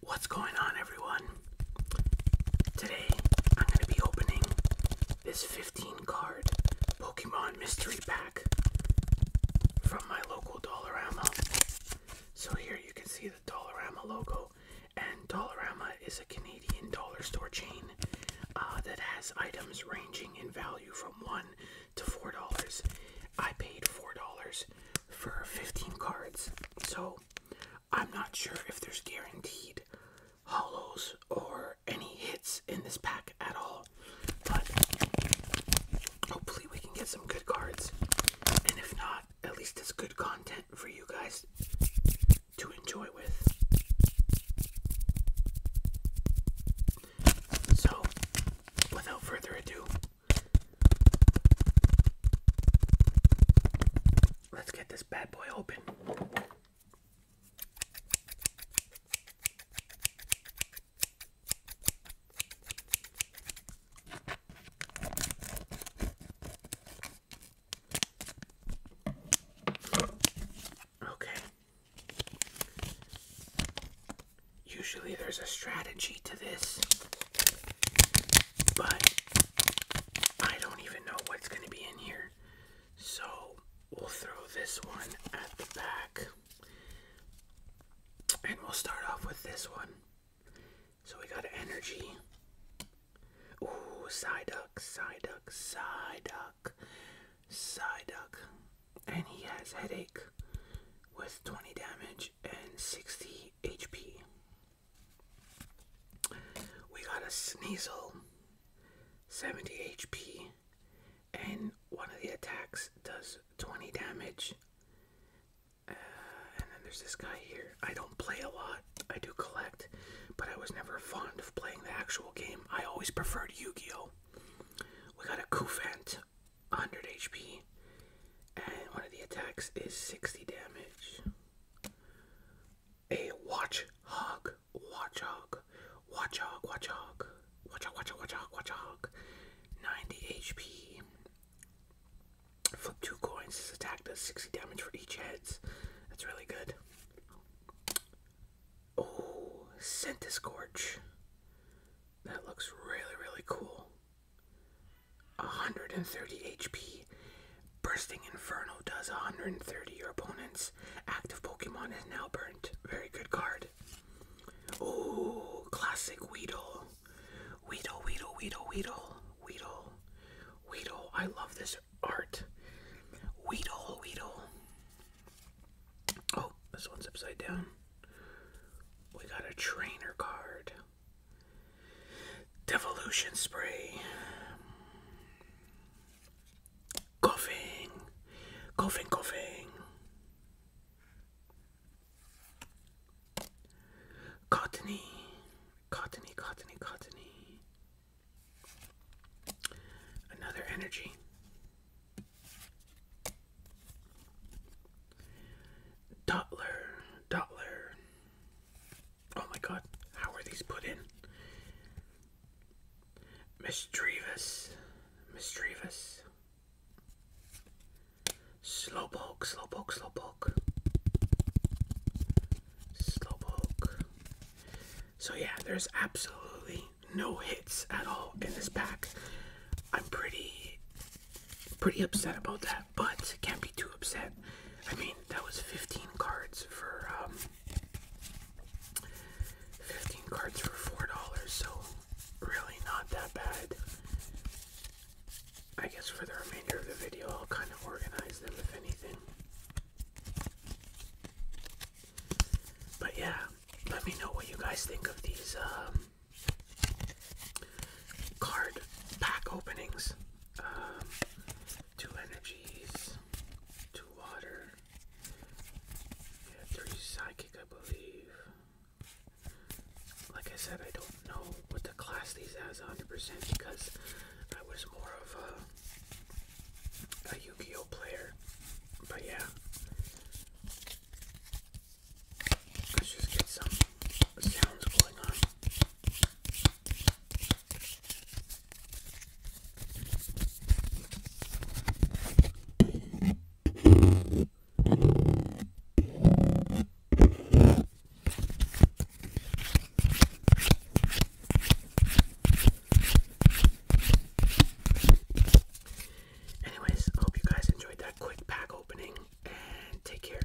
What's going on, everyone? Today I'm going to be opening this 15 card Pokemon Mystery Pack from my local Dollarama. So, here you can see the Dollarama logo, and Dollarama is a Canadian dollar store chain uh, that has items ranging in value from $1 to four dollars. I paid four dollars for 15 cards, so I'm not sure if there's guaranteed hollows or any hits in this pack at all, but hopefully we can get some good cards, and if not, at least it's good content for you guys to enjoy with. So, without further ado, let's get this bad boy open. Okay, Usually there's a strategy to this, but I don't even know what's going to be in here. So we'll throw this one at the back. And we'll start off with this one. So we got energy. Ooh, Psyduck, Psyduck, Psyduck. Psyduck, Psyduck, and he has headache with 20 damage and 60 HP. We got a Sneasel, 70 HP, and one of the attacks does 20 damage. Uh, and then there's this guy here. I don't play a lot lot. I do collect, but I was never fond of playing the actual game. I always preferred Yu-Gi-Oh. We got a Kufant, 100 HP, and one of the attacks is 60 damage. A Watch Hog, Watch Hog, Watch Hog, Watch Hog, Watch Hog, Watch Hog, Watch Hog, Watch Hog, 90 HP. Flip two coins. This attack does 60 damage for each heads. That's really good. Oh, Scent Scorch. That looks really, really cool. 130 HP. Bursting Inferno does 130. Your opponent's active Pokemon is now burnt. Very good card. Oh, classic Weedle. Weedle, Weedle, Weedle, Weedle, Weedle, Weedle. I love this art. Weedle, Weedle. Oh, this one's upside down. We got a trainer card. Devolution spray. Coughing. Coughing, coughing. Cottony, cottony, cottony, cottony. Another energy. Dotler, Dotler. Oh my god, how are these put in? Mistrevous, Mistrevous. Slowpoke, slowpoke, slowpoke. Slowpoke. So yeah, there's absolutely no hits at all in this pack. I'm pretty pretty upset about that, but can't be too upset. I mean, that was 15 cards for um, 15 cards for $4, so really not that bad. I guess for the remainder of the video, I'll kind of organize them if anything. But yeah, let me know what you guys think of these um, card pack openings. Um, energies, two water, yeah, three psychic, I believe. Like I said, I don't know what the class these as 100% because I was more of a, a Yu-Gi-Oh player. But yeah, let's just get some sounds going on. Anyways, hope you guys enjoyed that quick pack opening and take care.